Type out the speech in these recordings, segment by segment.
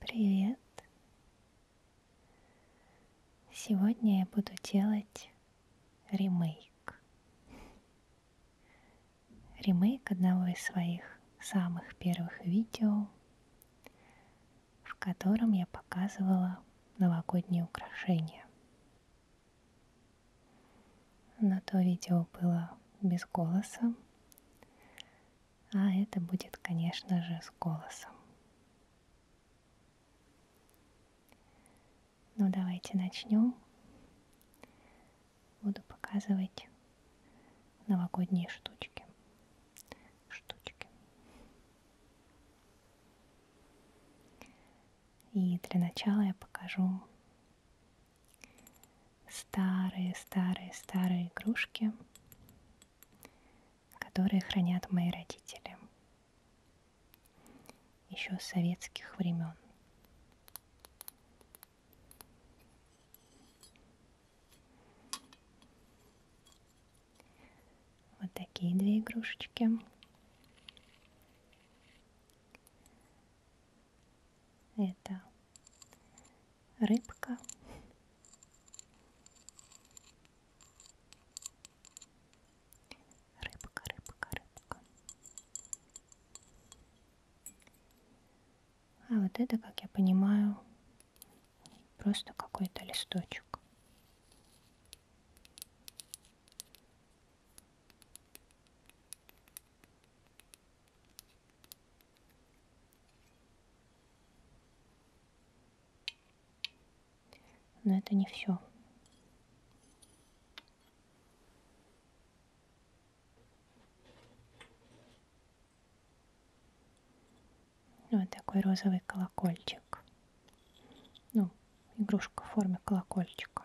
Привет! Сегодня я буду делать ремейк. Ремейк одного из своих самых первых видео, в котором я показывала новогодние украшения но то видео было без голоса, а это будет, конечно же, с голосом. Ну давайте начнем. Буду показывать новогодние штучки. Штучки. И для начала я покажу старые-старые-старые игрушки, которые хранят мои родители еще с советских времен. Вот такие две игрушечки. Это рыбка. Рыбка, рыбка, рыбка. А вот это, как я понимаю, просто какой-то листочек. Но это не все. Вот такой розовый колокольчик. Ну, игрушка в форме колокольчика.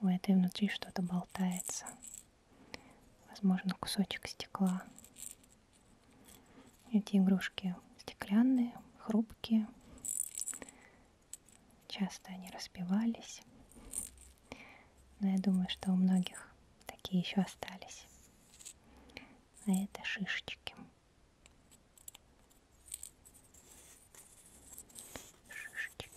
У этой а внутри что-то болтается. Возможно, кусочек стекла. Эти игрушки стеклянные, хрупкие. Часто они распивались. Но я думаю, что у многих такие еще остались. А это шишечки шишечки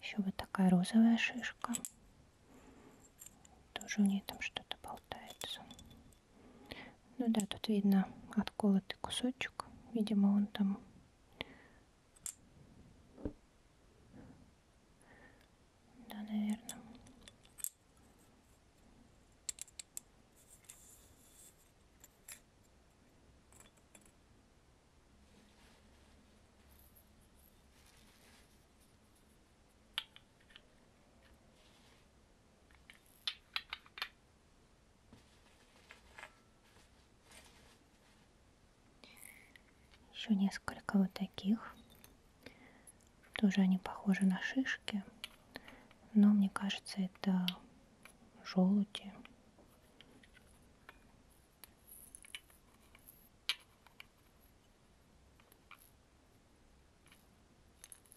еще вот такая розовая шишка тоже у нее там что-то болтается ну да, тут видно отколотый кусочек. Видимо, он там Да, наверное. Еще несколько вот таких. Тоже они похожи на шишки, но мне кажется, это желуди.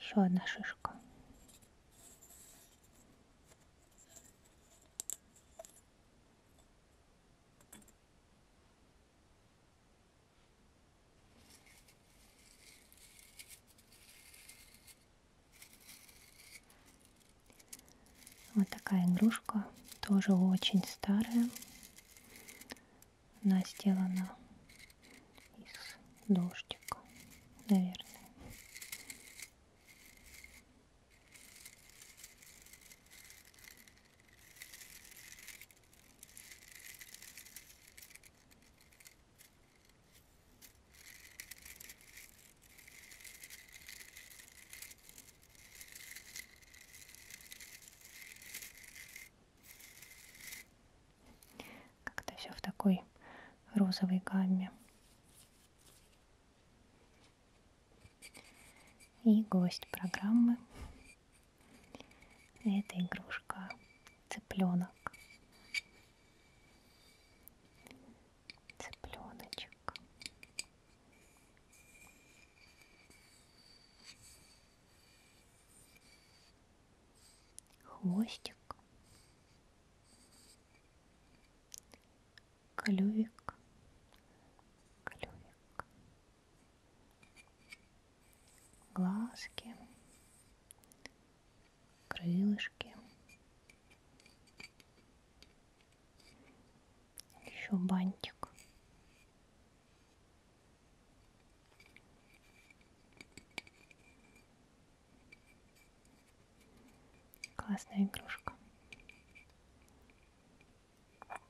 Еще одна шишка. Вот такая игрушка, тоже очень старая. Она сделана из дождика, наверное. Как-то все в такой розовой гамме. И гость программы – это игрушка цыпленок. Цыпленочек хвостик, клювик, клювик, глазки, крылышки, еще бантик. Классная игрушка. Так.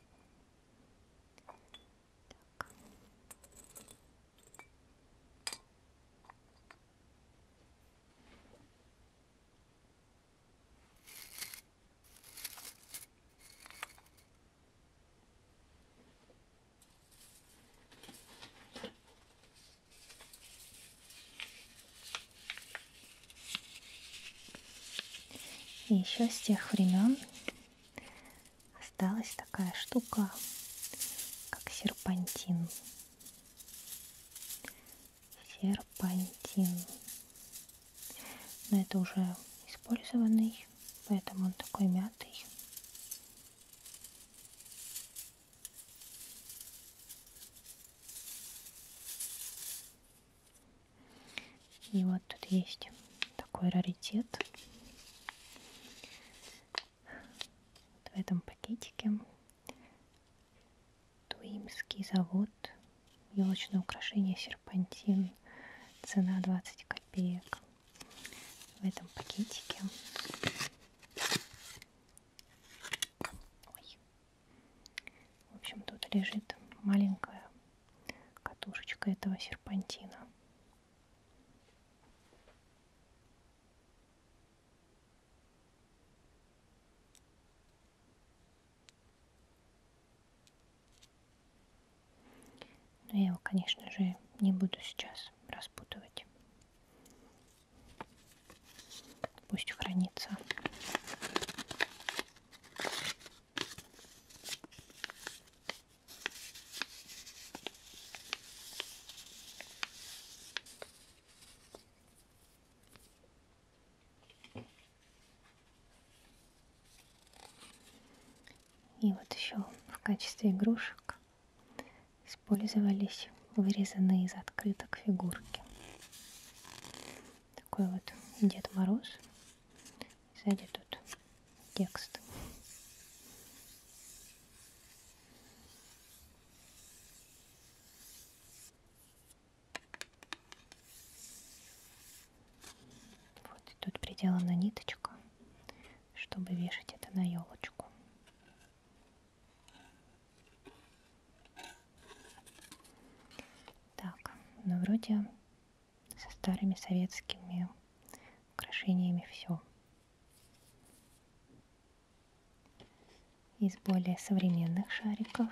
И еще с тех времен осталась такая штука, как серпантин. Серпантин. Но это уже использованный, поэтому он такой мятый. И вот тут есть такой раритет. Вот в этом пакетике Туимский завод. Елочное украшение серпантин. Цена 20 копеек в этом пакетике. Ой. В общем, тут лежит маленькая катушечка этого серпантина. Но я его, конечно же, не буду сейчас распутывать. Пусть хранится. И вот еще в качестве игрушек использовались вырезанные из открыток фигурки. Такой вот Дед Мороз. Сзади тут текст. Вот и тут приделана ниточка чтобы вешать это на елочку. Так, ну вроде со старыми советскими украшениями все. Из более современных шариков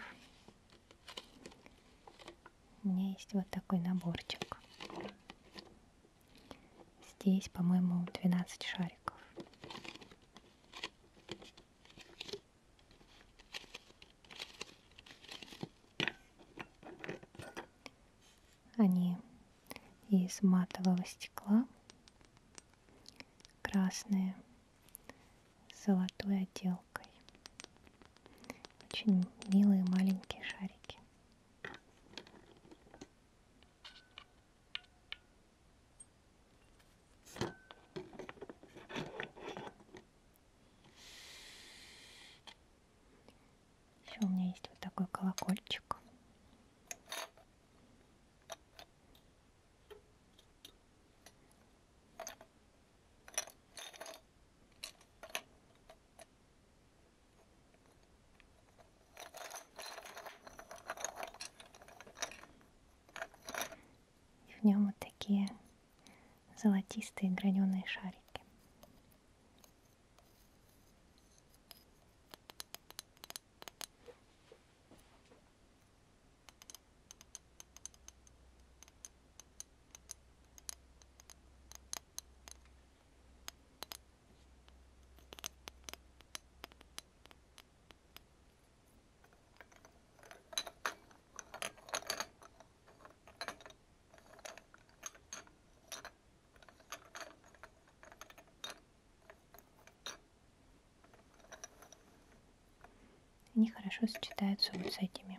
у меня есть вот такой наборчик. Здесь, по-моему, 12 шариков. Они из матового стекла, красные, с золотой отделкой. Очень милые маленькие шарики. Еще у меня есть вот такой колокольчик. В нем вот такие золотистые граненые шарики. Они хорошо сочетаются вот с этими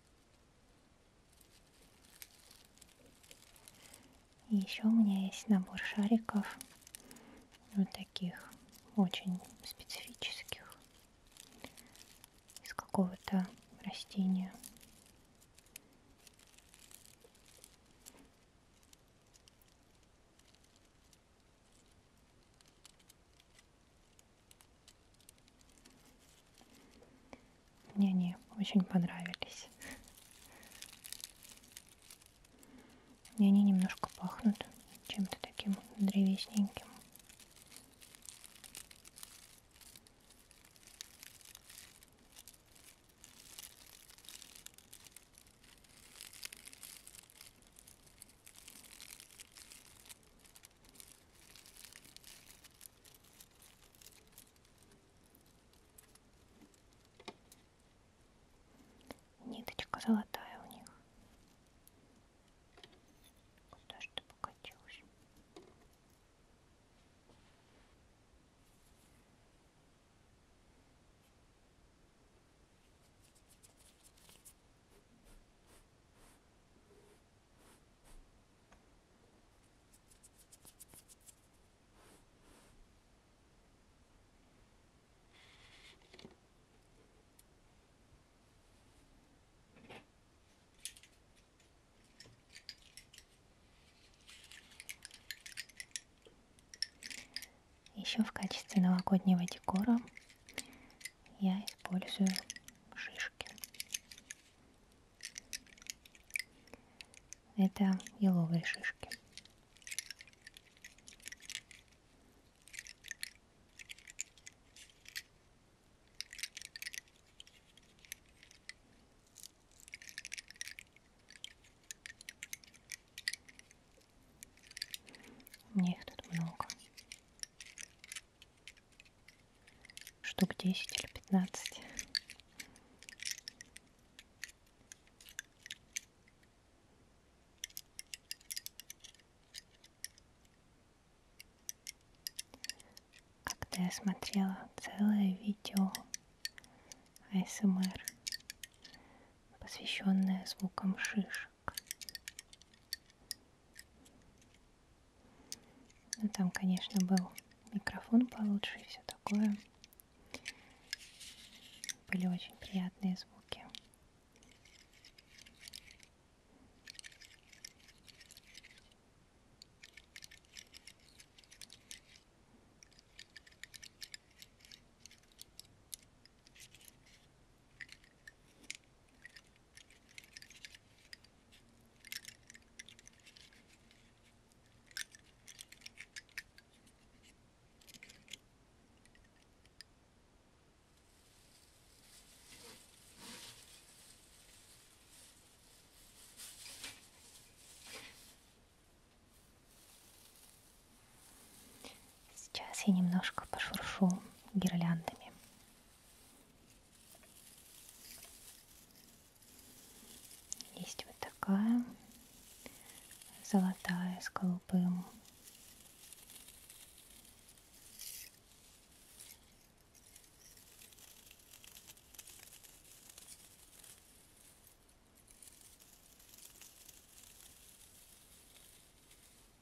И еще у меня есть набор шариков, вот таких, очень специфических, из какого-то растения. Мне они очень понравились. И они немножко пахнут чем-то таким древесненьким. Ниточка золотая у них. Куда же ты покатилась? Еще в качестве новогоднего декора я использую шишки. Это еловые шишки. Мне их тут много штук 10 или 15. Как-то я смотрела целое видео АСМР, посвященное звукам шишек. Ну, там, конечно, был микрофон получше и все такое. Были очень приятные звуки. Сейчас я немножко пошуршу гирляндами. Есть вот такая золотая с голубым.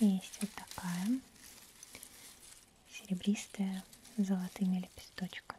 Есть вот такая серебристая с золотыми лепесточками.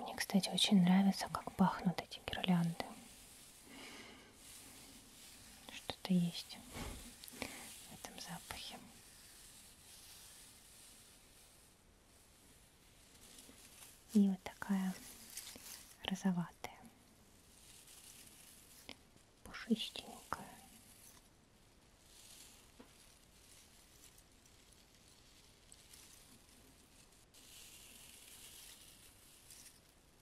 Мне, кстати, очень нравится, как пахнут эти гирлянды. Что-то есть в этом запахе. И вот такая розоватая, пушистенькая.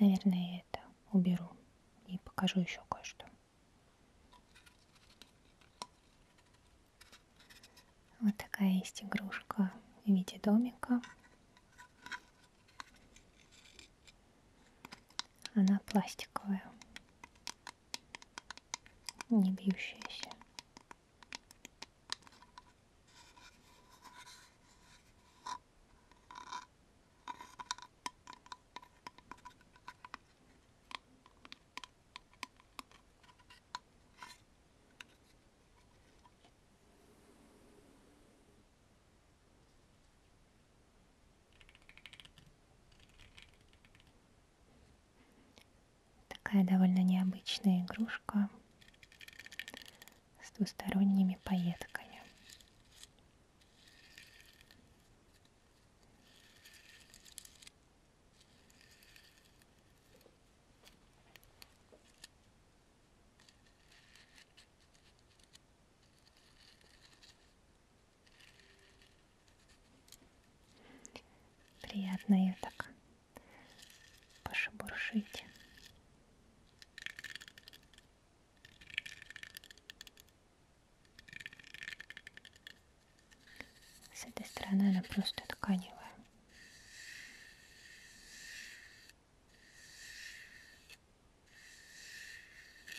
Наверное, я это уберу и покажу еще кое-что. Вот такая есть игрушка в виде домика. Она пластиковая, не бьющаяся. Такая довольно необычная игрушка с двусторонними пайетками. Приятно ее так пошебуршить. С этой стороны она просто тканевая.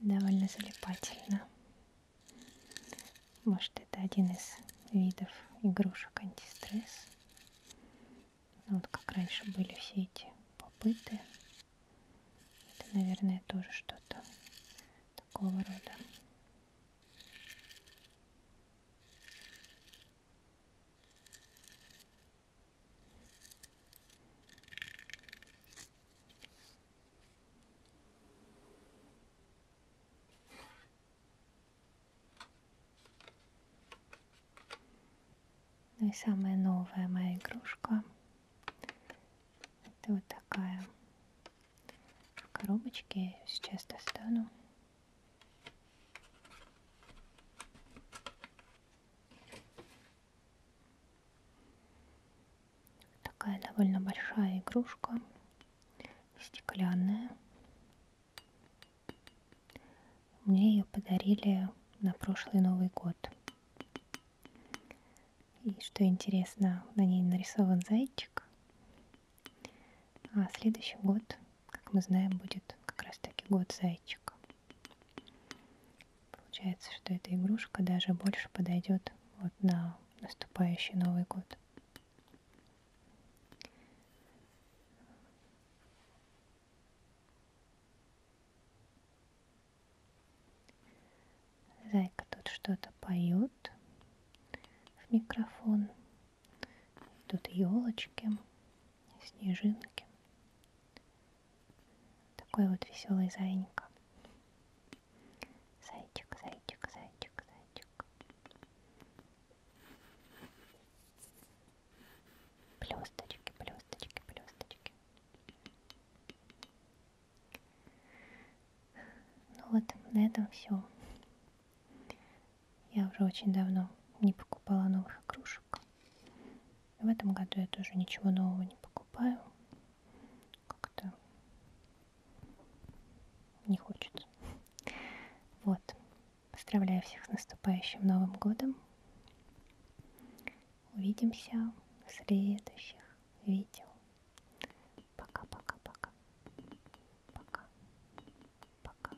довольно залипательно. Может, это один из видов игрушек антистресс. Вот как раньше были все эти попыты. Это, наверное, тоже что-то такого рода. Ну и самая новая моя игрушка. Это вот такая в коробочке. Я ее сейчас достану. Такая довольно большая игрушка, стеклянная. Мне ее подарили на прошлый Новый год. И что интересно, на ней нарисован зайчик. А следующий год, как мы знаем, будет как раз таки год зайчика. Получается, что эта игрушка даже больше подойдет вот на наступающий Новый год. Зайка тут что-то поет в микрофон. Тут елочки, снежинки. Такой вот веселый зайник. Зайчик, зайчик, зайчик, зайчик. Плюсточки, плюсточки, плюсточки. Ну вот, на этом все. Я уже очень давно не покупала новых игрушек. В этом году я тоже ничего нового не покупаю. Как-то не хочется. Вот. Поздравляю всех с наступающим Новым годом. Увидимся в следующих видео. Пока-пока-пока. Пока. Пока.